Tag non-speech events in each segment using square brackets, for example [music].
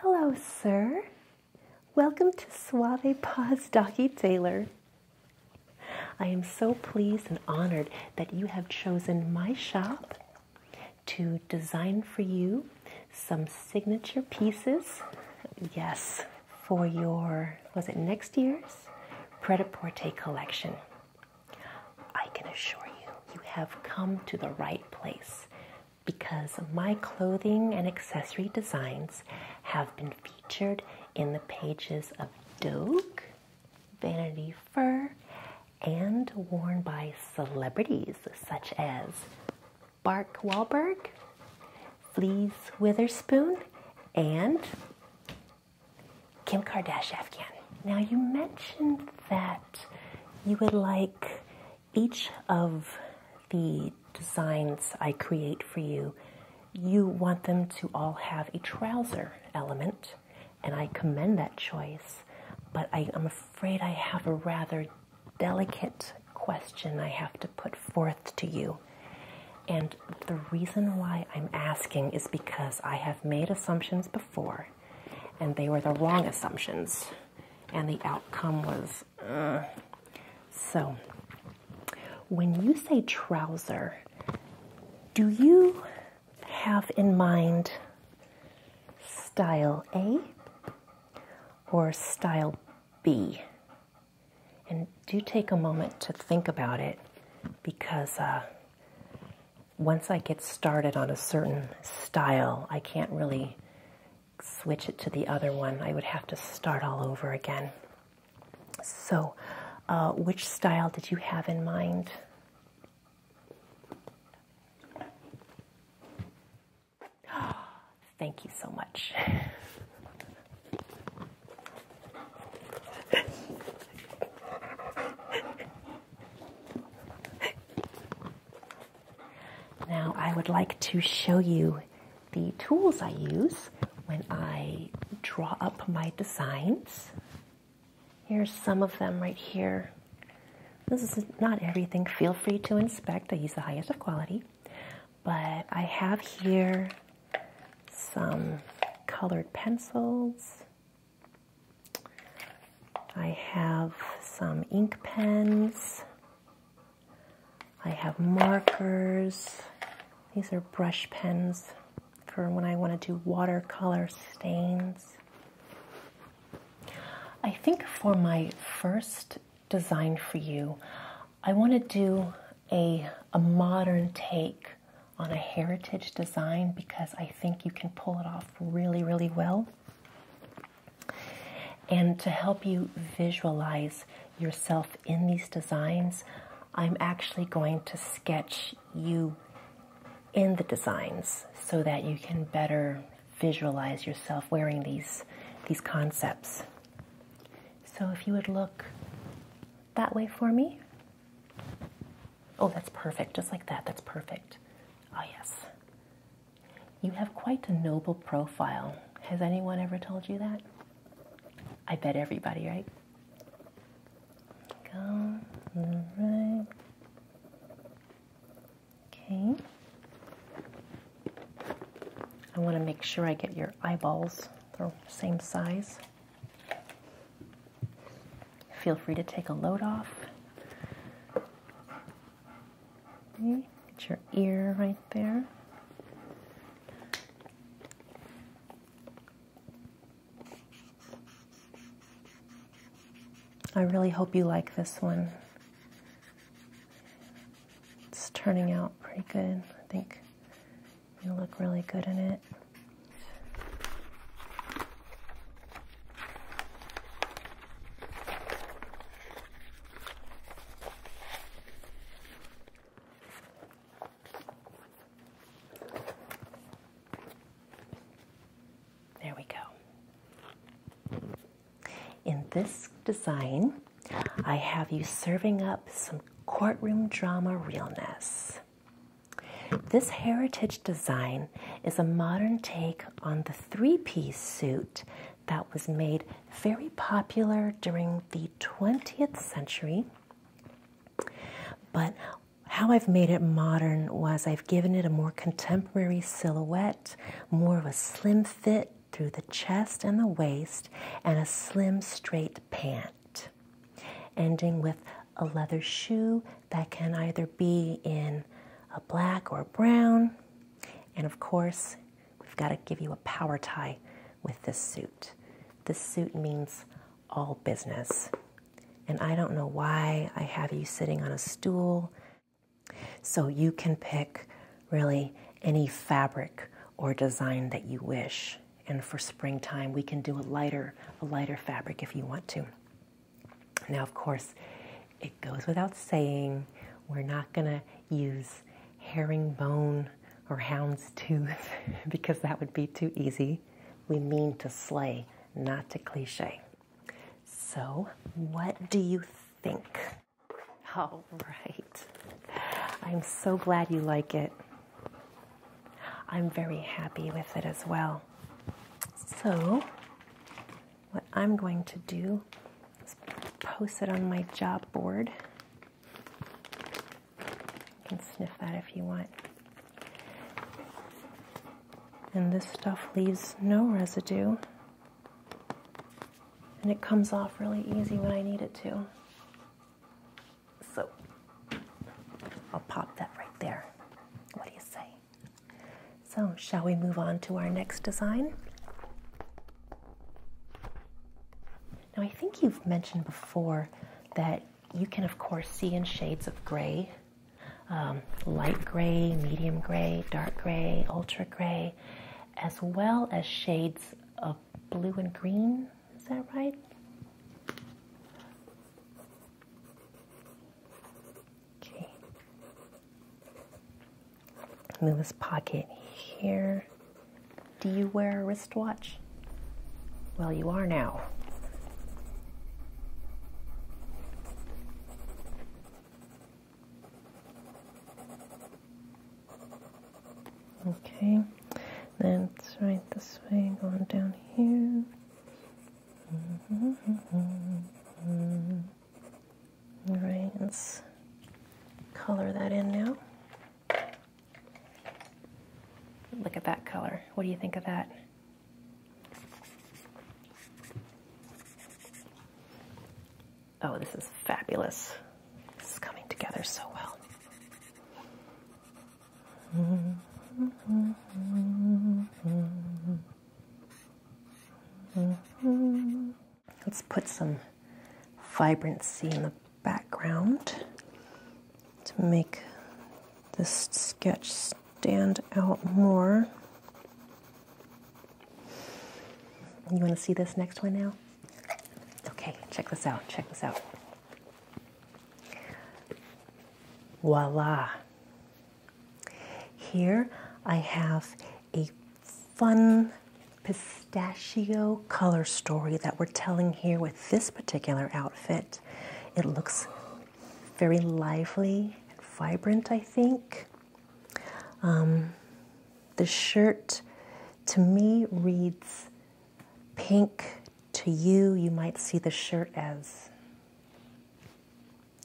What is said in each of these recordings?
Hello, sir. Welcome to Suave Paws Doggy Taylor. I am so pleased and honored that you have chosen my shop to design for you some signature pieces. Yes, for your, was it next year's Pret a Porter collection. I can assure you, you have come to the right place because my clothing and accessory designs have been featured in the pages of Dogue, Vanity Fair, and worn by celebrities such as Bark Wahlberg, Fleas Witherspoon, and Kim Kardashian. Now, you mentioned that you would like each of the designs I create for you, you want them to all have a trouser element, and I commend that choice. But I, I'm afraid I have a rather delicate question I have to put forth to you. And the reason why I'm asking is because I have made assumptions before, and they were the wrong assumptions, and the outcome was. Uh. So, when you say trouser, do you have in mind style A or style B? And do take a moment to think about it because uh, once I get started on a certain style, I can't really switch it to the other one. I would have to start all over again. So, uh, which style did you have in mind? Thank you so much. now, I would like to show you the tools I use when I draw up my designs. Here's some of them right here. This is not everything. Feel free to inspect. I use the highest of quality. But I have here some colored pencils. I have some ink pens. I have markers. These are brush pens for when I want to do watercolor stains. I think for my first design for you, I want to do a, a modern take on a heritage design because I think you can pull it off really, really well. And to help you visualize yourself in these designs, I'm actually going to sketch you in the designs so that you can better visualize yourself wearing these these concepts. So if you would look that way for me. Oh, that's perfect. Just like that. That's perfect. Oh, yes. You have quite a noble profile. Has anyone ever told you that? I bet everybody, right? Go right. Okay. I want to make sure I get your eyeballs. the same size. Feel free to take a load off. get your ear right there. I really hope you like this one. It's turning out pretty good, I think. You look really good in it. There we go. In this design, I have you serving up some courtroom drama realness. This heritage design is a modern take on the three piece suit that was made very popular during the 20th century. But how I've made it modern was I've given it a more contemporary silhouette, more of a slim fit, through the chest and the waist, and a slim, straight pant, ending with a leather shoe that can either be in a black or brown. And of course, we've got to give you a power tie with this suit. This suit means all business. And I don't know why I have you sitting on a stool. So you can pick really any fabric or design that you wish. And for springtime, we can do a lighter, a lighter fabric if you want to. Now, of course, it goes without saying, we're not gonna use herringbone or hound's tooth [laughs] because that would be too easy. We mean to slay, not to cliche. So, what do you think? All right. I'm so glad you like it. I'm very happy with it as well. So, what I'm going to do is post it on my job board. You can sniff that if you want. And this stuff leaves no residue and it comes off really easy when I need it to. So I'll pop that right there. What do you say? So, shall we move on to our next design? Now, I think you've mentioned before that you can, of course, see in shades of gray um, light gray, medium gray, dark gray, ultra gray, as well as shades of blue and green. Is that right? Okay. Move this pocket here. Do you wear a wristwatch? Well, you are now. Okay, then it's right this way, going down here. Mm-hmm. All right, let's color that in now. Look at that color. What do you think of that? Oh, this is fabulous. This is coming together so well. Let's put some vibrancy in the background to make this sketch stand out more. You want to see this next one now? Okay, check this out. Check this out. Voila. Here I have a fun pistachio color story that we're telling here with this particular outfit. It looks very lively and vibrant, I think. Um, the shirt to me reads pink. To you, you might see the shirt as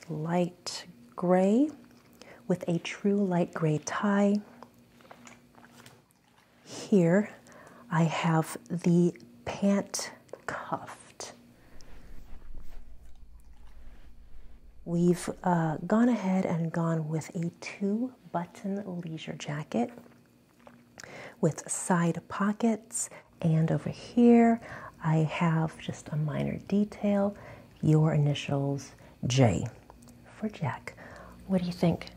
light gray with a true light gray tie. Here I have the pant cuffed. We've uh, gone ahead and gone with a two button leisure jacket with side pockets. And over here, I have just a minor detail your initials J for Jack. What do you think?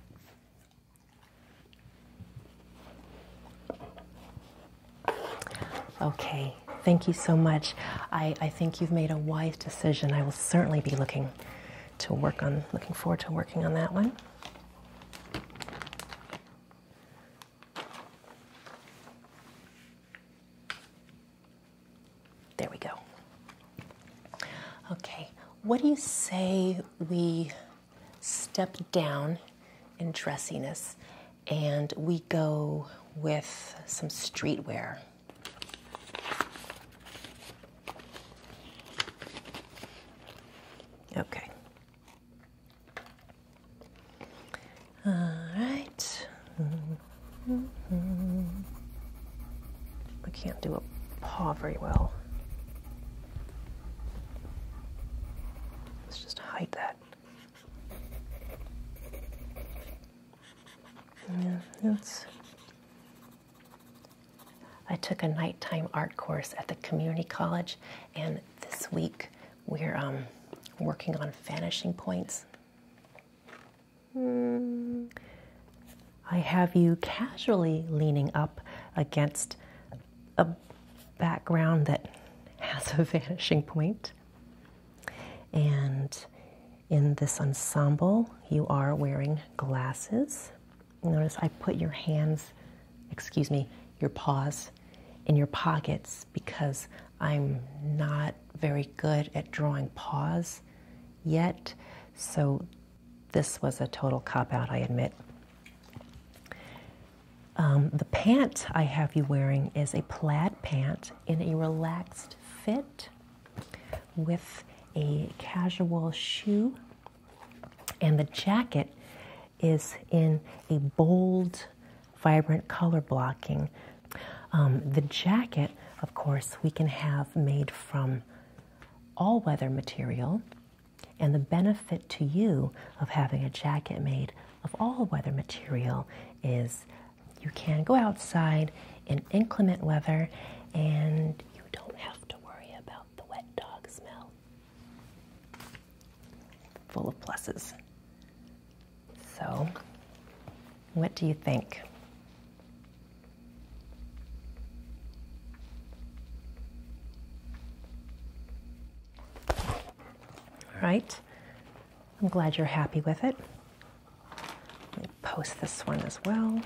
Okay, thank you so much. I, I think you've made a wise decision. I will certainly be looking to work on. Looking forward to working on that one. There we go. Okay, what do you say we step down in dressiness and we go with some streetwear? Okay. All right. I can't do a paw very well. Let's just hide that. Yeah, that's I took a nighttime art course at the community college, and this week we're um, working on vanishing points. I have you casually leaning up against a background that has a [laughs] vanishing And in this ensemble, you are wearing glasses. Notice I put your hands, excuse me, your paws in your pockets because I'm not very good at drawing paws yet. So this was a total cop out, I admit. Um, the pant I have you wearing is a plaid pant in a relaxed fit with a casual shoe, and the jacket is in a bold, vibrant color blocking. Um, the jacket, of course, we can have made from all weather material, and the benefit to you of having a jacket made of all weather material is you can go outside in inclement weather and you don't have to worry about the wet dog smell. Full of pluses. So, what do you think? All right, I'm glad you're happy with it. Post this one as well.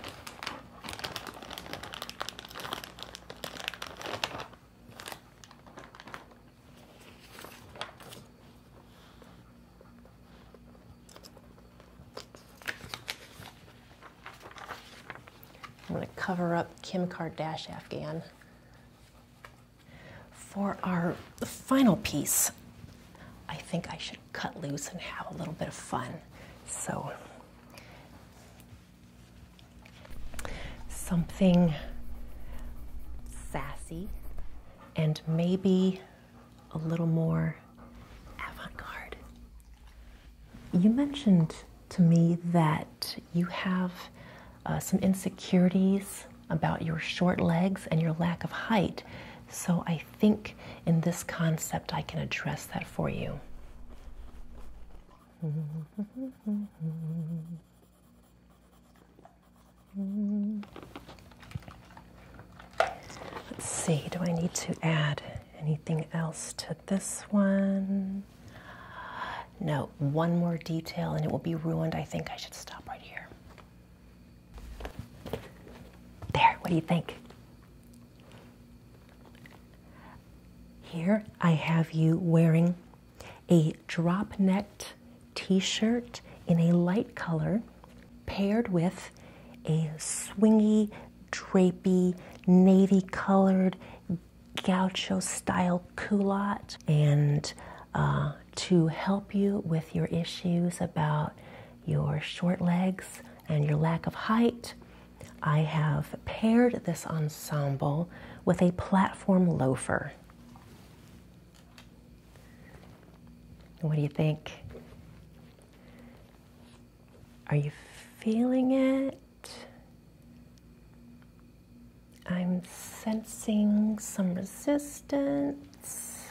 I'm going to cover up Kim Kardashian Afghan. For our final piece, I think I should cut loose and have a little bit of fun. So, something sassy and maybe a little more avant garde. You mentioned to me that you have uh, some insecurities about your short legs and your lack of height. So I think in this concept I can address that for you. Let's see, do I need to add anything else to this one? No, one more detail and it will be ruined. I think I should stop right here. There, what do you think? Here I have you wearing a drop necked t shirt in a light color paired with a swingy, drapey, navy colored gaucho style culotte. And uh, to help you with your issues about your short legs, and your lack of height. I have paired this ensemble with a platform loafer. What do you think? Are you feeling it? I'm sensing some resistance.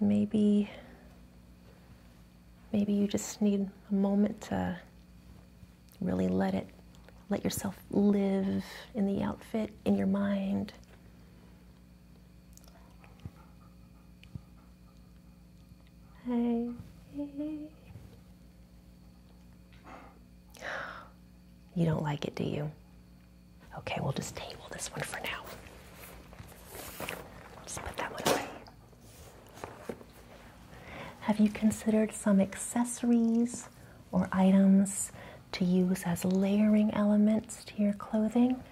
Maybe maybe you just need a moment to really let it let yourself live in the outfit in your mind. Hey. You don't like it, do you? Okay, we'll just table this one for now. Just put that one away. Have you considered some accessories or items to use as layering elements to your clothing?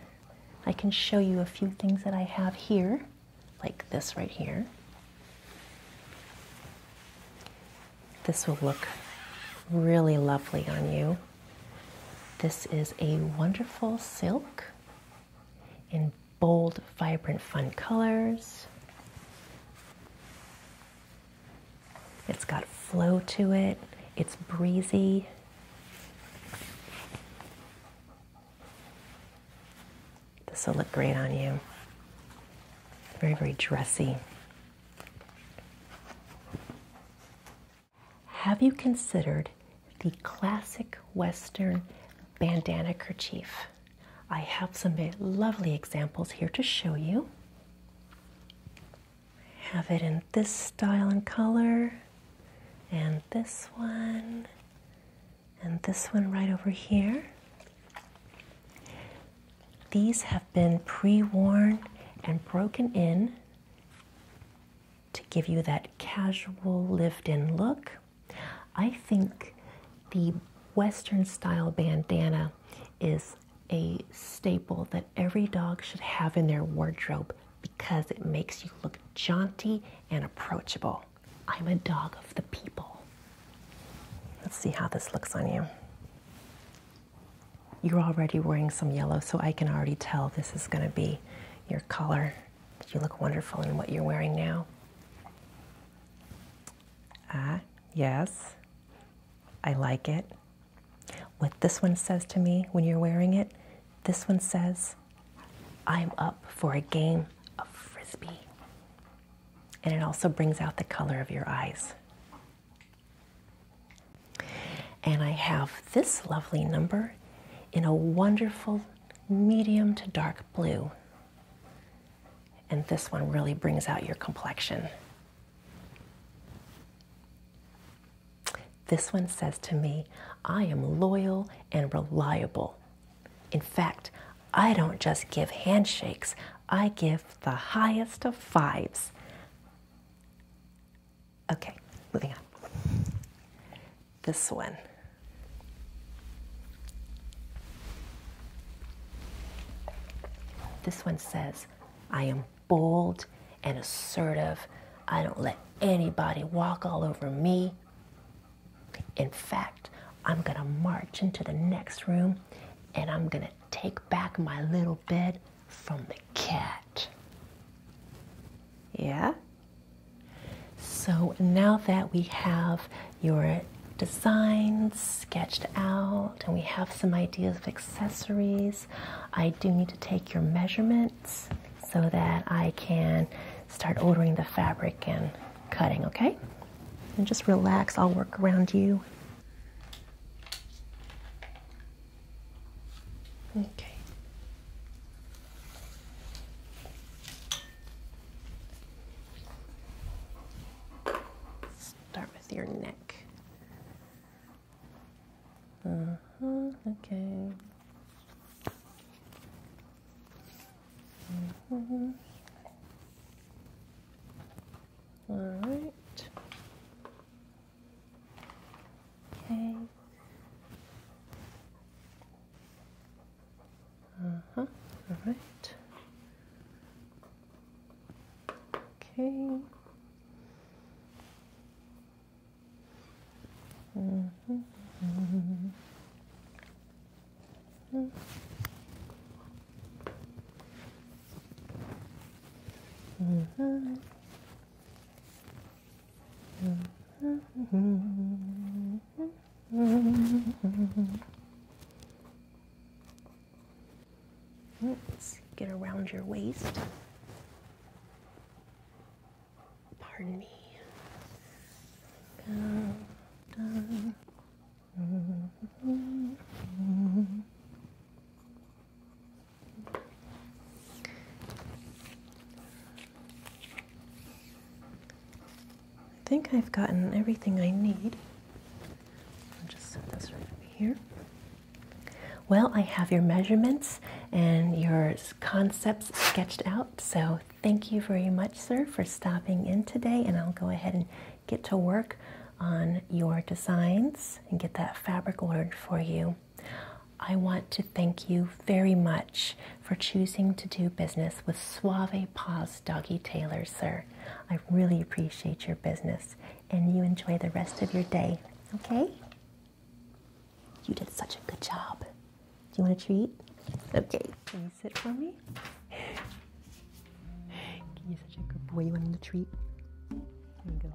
I can show you a few things that I have here, like this right here. This will look really lovely on you. This is a wonderful silk in bold, vibrant, fun colors. It's got flow to it, it's breezy. This will look great on you. Very, very dressy. Have you considered the classic Western bandana kerchief? I have some lovely examples here to show you. I Have it in this style and color, and this one, and this one right over here. These have been pre worn and broken in to give you that casual lived in look. I think the Western style bandana is a staple that every dog should have in their wardrobe because it makes you look jaunty and approachable. I'm a dog of the people. Let's see how this looks on you you're already wearing some yellow, so I can already tell this is going to be your color. You look wonderful in what you're wearing now. Ah, yes. I like it. What this one says to me when you're wearing it, this one says, I'm up for a game of frisbee. And it also brings out the color of your eyes. And I have this lovely number in a wonderful medium to dark blue. And this one really brings out your complexion. This one says to me, I am loyal and reliable. In fact, I don't just give handshakes, I give the highest of fives. Okay, moving on. This one. This one says, I am bold and assertive. I don't let anybody walk all over me. In fact, I'm going to march into the next room and I'm going to take back my little bed from the cat. Yeah? So now that we have your designs sketched out and we have some ideas of accessories, I do need to take your measurements so that I can start ordering the fabric and cutting, okay? And just relax, I'll work around you. Okay. Start with your neck. Uh huh. Okay. Uh mm-hmm. -huh. All right. Okay. Uh-huh. All right. Okay. Mm -hmm. Mm -hmm. Mm -hmm. Mm-hmm. Let's get around your waist. Pardon me. I think I've gotten everything I need. I'll just set this right over here. Well, I have your measurements and your concepts sketched out. So, thank you very much, sir, for stopping in today. And I'll go ahead and get to work on your designs and get that fabric ordered for you. I want to thank you very much for choosing to do business with Suave Paws Doggy Tailor, sir. I really appreciate your business and you enjoy the rest of your day, okay? You did such a good job. Do you want a treat? Okay, can you sit for me? You're such a good boy. You want a treat? There you go.